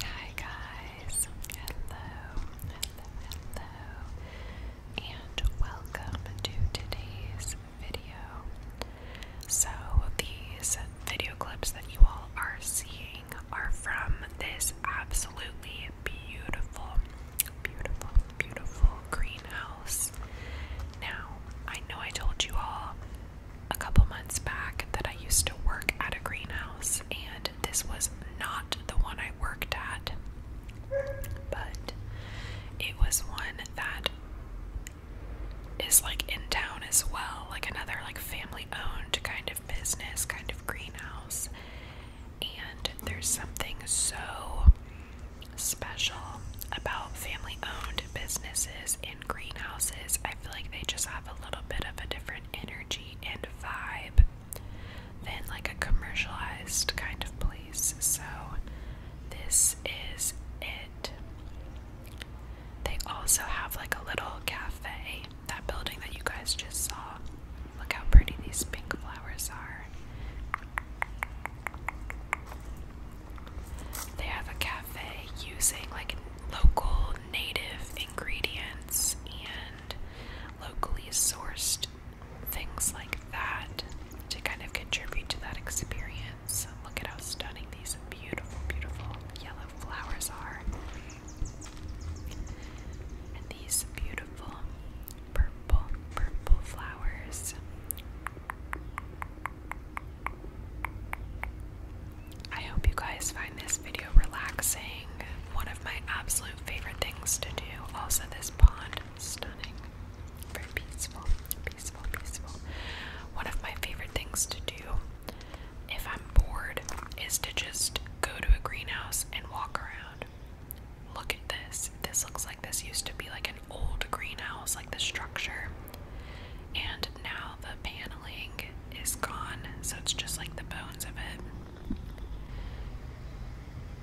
Hi guys, hello, hello, and welcome to today's video. So, these video clips that you all are seeing are from this absolutely beautiful, beautiful, beautiful greenhouse. Now, I know I told you all a couple months back that I used to work at a greenhouse, and this was not the one I worked at, but it was one that is like in town as well, like another like family owned kind of business, kind of greenhouse. And there's something so special about family owned businesses in greenhouses, I feel like they just have a little bit of a different energy and vibe than like a commercialized kind of place. So, this is it. They also have like a little cafe, that building that you guys just saw. Look how pretty these pink flowers are. They have a cafe using like local native ingredients and locally sourced things like that to kind of contribute to that experience. Um, look at how stunning these beautiful, beautiful yellow flowers are. And these beautiful purple, purple flowers. I hope you guys find this video relaxing. One of my absolute favorite things to do. Also, this pond, stunning. Very peaceful, peaceful, peaceful. One of my favorite things to do if I'm bored is to just go to a greenhouse and walk around. Look at this. This looks like this used to be like an old greenhouse, like the structure, and now the paneling is gone, so it's just like the bones of it.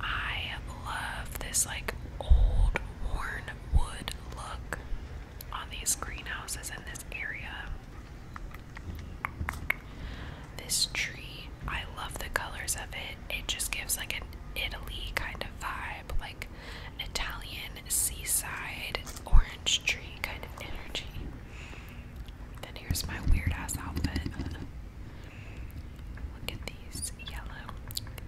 I love this like old worn wood look on these greenhouses in this area. This tree, I love the colors of it. It just gives like an Italy kind of vibe, like Italian seaside orange tree kind of energy. Then here's my weird ass outfit. Look at these yellow,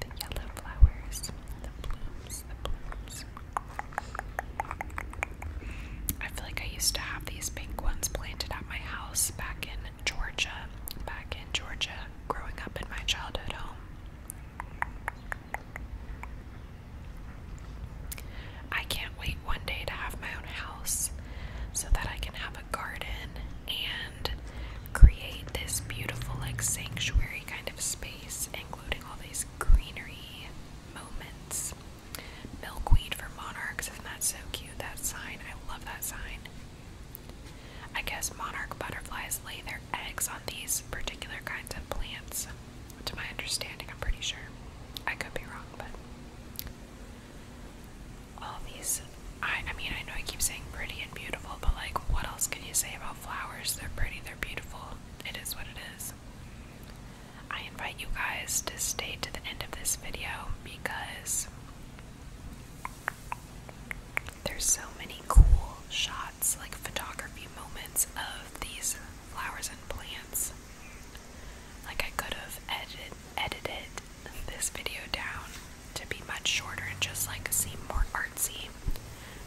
the yellow flowers, the blooms, the blooms. I feel like I used to have these pink ones planted at my house back in Georgia, back in Georgia, growing up in my childhood home. I can't wait one day to have my own house so that I can have a garden and create this beautiful, like, sanctuary kind of space, including all these greenery moments. Milkweed for monarchs, isn't that so cute? That sign, I love that sign. I guess monarch butterflies lay their eggs on these particular kinds of plants. To my understanding, I'm pretty sure. I could be wrong, but all these I I mean I know I keep saying pretty and beautiful, but like what else can you say about flowers? They're pretty, they're beautiful. It is what it is. I invite you guys to stay to the end of this video because there's so many cool shots, like photography moments of these flowers and plants. Like I could have edited edited this video down to be much shorter and just like seem more artsy.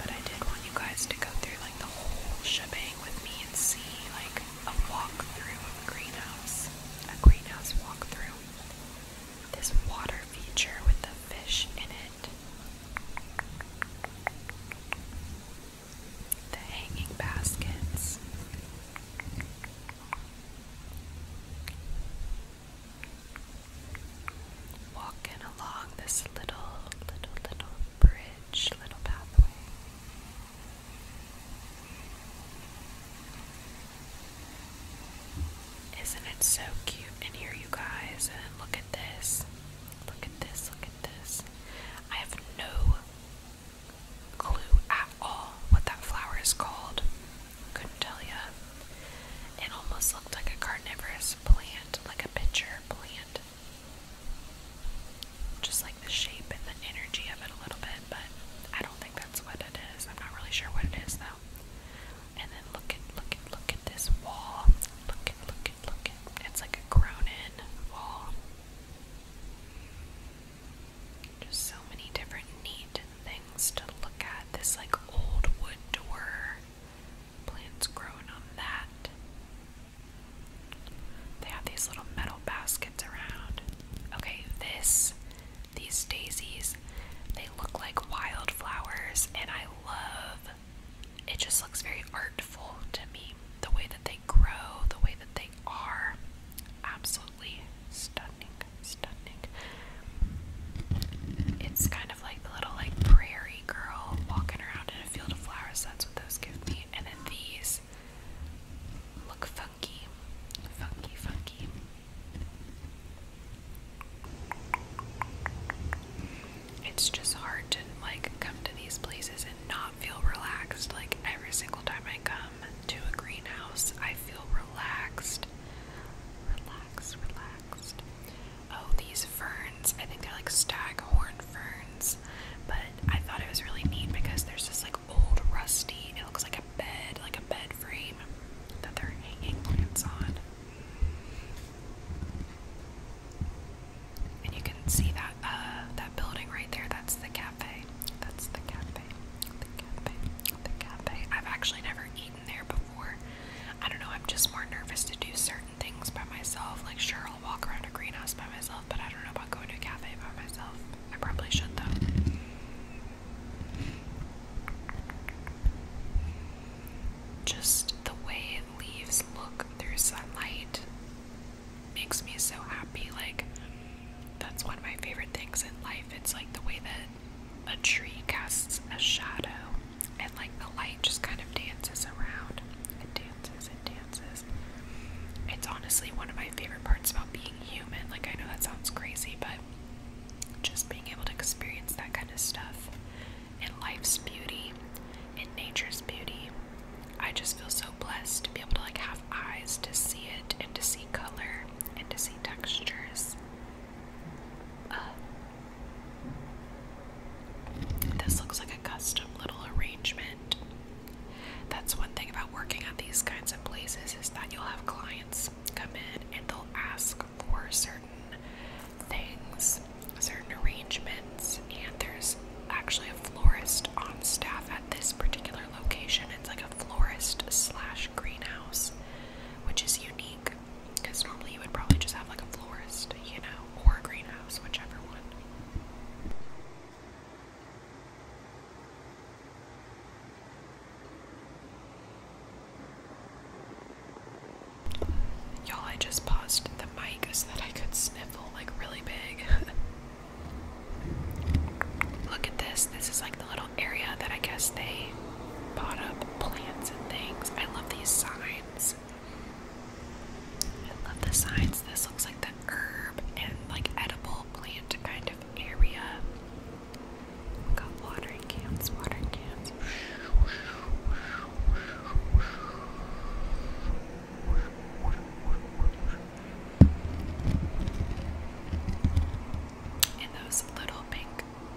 But I did want you guys to go through like the whole shebang with me and see like a walk through of a greenhouse. A greenhouse walk through this water feature with the fish in it. The hanging baskets. Walking along this little, little, little bridge, little pathway. Isn't it so cute in here, you guys? And look at this. Look at this. Look at this. I have no clue at all what that flower is called. Couldn't tell ya. It almost looked like a carnivorous plant, like a pitcher plant. Just like the shape and the energy of it a little bit, but I don't think that's what it is. I'm not really sure what it is, though now. And then look at look at look at this wall. Look at look at look at it's like a grown in wall. Just so many different neat things to look at. This like old wood door. Plants grown on that. They have these little metal baskets around. Okay, this these daisies. They look like wildflowers, and I love it just looks very artful to me. The way that they grow, the way that they are. Absolutely stunning, stunning. It's kind of like the little like prairie girl walking around in a field of flowers. That's what those give me. And then these look funky, funky, funky. It's just hard to like come to these places and not feel relaxed. Like every single time I come to a greenhouse, I feel relaxed. relaxed, relaxed. Oh, these ferns. I think they're like stag horn ferns. But I thought it was really neat because there's just like old rusty, it looks like a bed, like a bed frame that they're hanging plants on. And you can see that uh, that building right there, that's the cafe. That's the cafe. The cafe. The cafe. I've actually never eaten there before. I don't know, I'm just more nervous to do certain things by myself. Like sure I'll walk around a greenhouse by myself, but I don't know about going to a cafe by myself. I probably should though. Just the way leaves look through sunlight makes me so happy. Like, that's one of my favorite things in life. It's like the way that a tree casts a shadow and like the light just kind of dances around. It dances, it dances it's honestly one of my favorite parts about being human. Like, I know that sounds crazy, but just being able to experience that kind of stuff and life's beauty and nature's beauty. I just feel so blessed to be able to like have eyes to see it and to see color and to see textures. Uh, this looks like a custom little arrangement that's one thing about working at these kinds of places is that you'll have clients come in and they'll ask for certain things, certain arrangements, and there's actually a florist on staff at this particular location. It's like a florist slash greenhouse, which is unique because normally you would probably just have like a florist, you know, or a greenhouse, whichever one. Y'all, I just paused the mic so that I could sniffle like really big. Look at this. This is like the little area that I guess they bought up plants and things. I love these signs. I love the signs. This looks like the herb and like edible plant kind of area. got watering cans, watering cans. And those little pink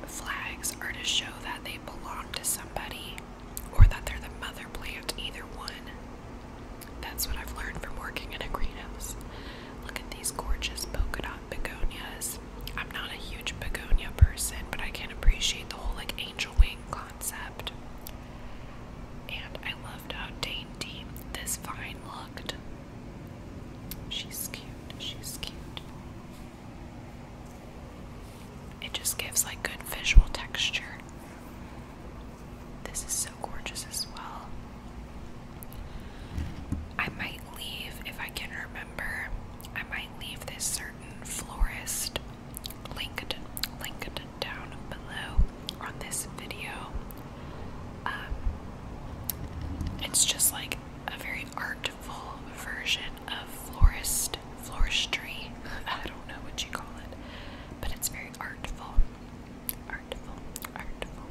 flags are to show that they belong to somebody or that they're the mother plant, either one. That's what I've learned from working in a greenhouse. Look at these gorgeous polka dot begonias. I'm not a huge begonia person, but I can appreciate the whole like angel wing concept. And I loved how dainty this vine looked. She's cute, she's cute. It just gives like good visual texture. This is so gorgeous as well. I might leave, if I can remember, I might leave this certain florist linked, down below on this video. Um, it's just like a very artful version of florist, floristry. I don't know what you call it. But it's very artful. Artful, artful.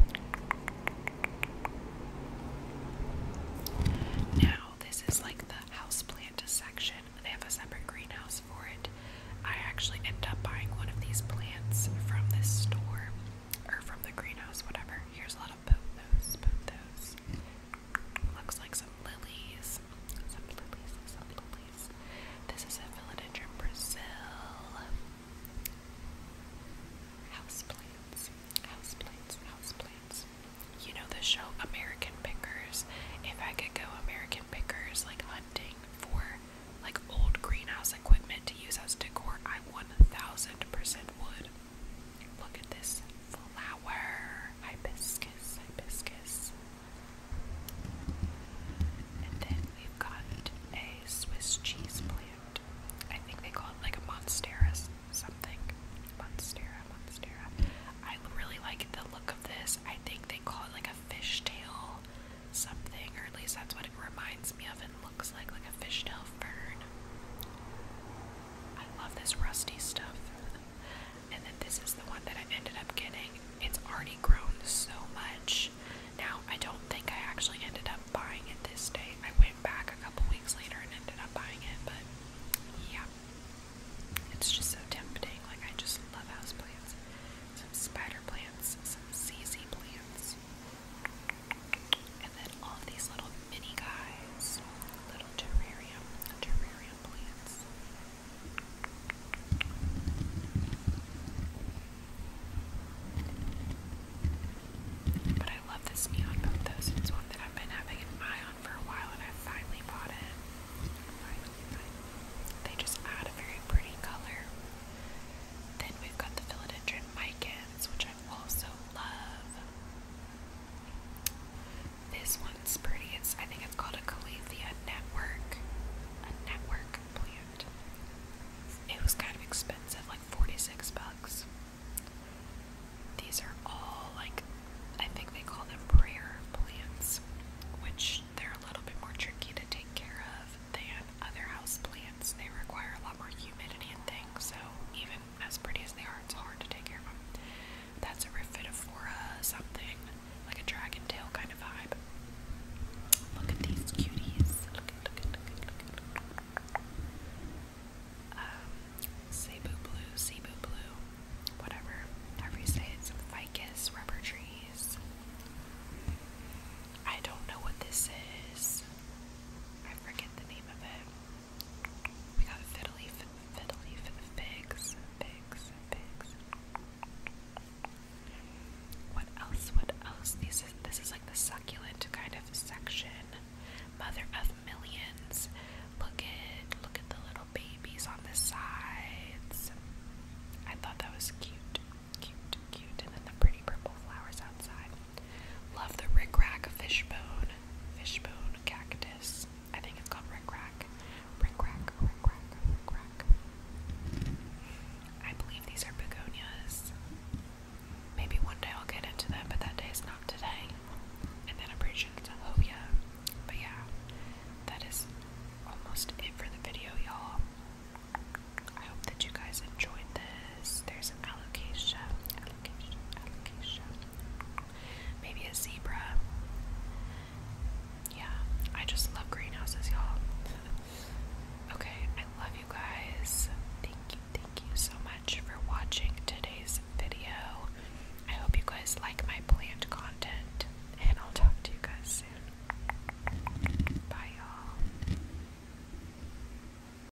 Now, this is like the houseplant section. They have a separate greenhouse for it. I actually end up buying one of these plants from this store or from the greenhouse, whatever. Here's a lot of pothos, pothos. Looks like some lilies. Some lilies, some lilies. This is a Philodendron Brazil. Houseplants, houseplants, houseplants. You know the show American Pickers? If I could go American Pickers, like hunting for like old greenhouse equipment to use as decor, I 1000% would. Look at this flower. Hibiscus, hibiscus. And then we've got a Swiss cheese plant. I think they call it like a monstera something. Monstera, monstera. I really like the look of this. I think they call it like a fishtail something, or at least that's what it reminds me of and looks like, like a fishtail fern. I love this rusty stuff and then this is the one that I ended up getting. It's already grown so much. Now, I don't think I actually ended up buying it this day. I went back a couple weeks later and ended up buying it, but yeah. It's just so tempting. Like, I just love houseplants. Some spider plants, some ZZ plants. And then all of these little mini guys. Little terrarium. Terrarium. But I love this neon boat it's one that I've been having an eye on for a while and I finally bought it. They just add a very pretty color. Then we've got the philodendron micans, which I also love. This one's pretty. It's I think it's called a Calethea network, a network plant. It was kind of expensive, like forty-six bucks. These are all like I think they call them prayer plants, which they're a little bit more tricky to take care of than other house plants. They require a lot more humidity and things, so even as pretty as they are, it's hard to take care of them. That's a Riffidophora something, like a dragon tail kind of vibe. Look at these cuties. Look look look look Um, Cebu Blue, Cebu Blue, whatever. However say it, ficus, rubber trees. I don't know what this is. I forget the name of it. We got fiddly, fiddly, figs, figs, figs. What else? What else? This is, this is like the succulent kind of section. Mother of millions. Look at look at the little babies on the sides. I thought that was cute, cute, cute, and then the pretty purple flowers outside. Love the rickrack fishbone, fishbone cactus. I think it's called rickrack, rickrack, rickrack, rickrack. I believe these are begonias. Maybe one day I'll get into them, but that day is not today. And then I'm pretty sure But yeah, that is almost it for the video, y'all. I hope that you guys enjoyed this there's an alocasia, alocasia, maybe a zebra. Yeah, I just love greenhouses, y'all. okay, I love you guys. Thank you, thank you so much for watching today's video. I hope you guys like my plant content, and I'll talk to you guys soon. Bye, y'all.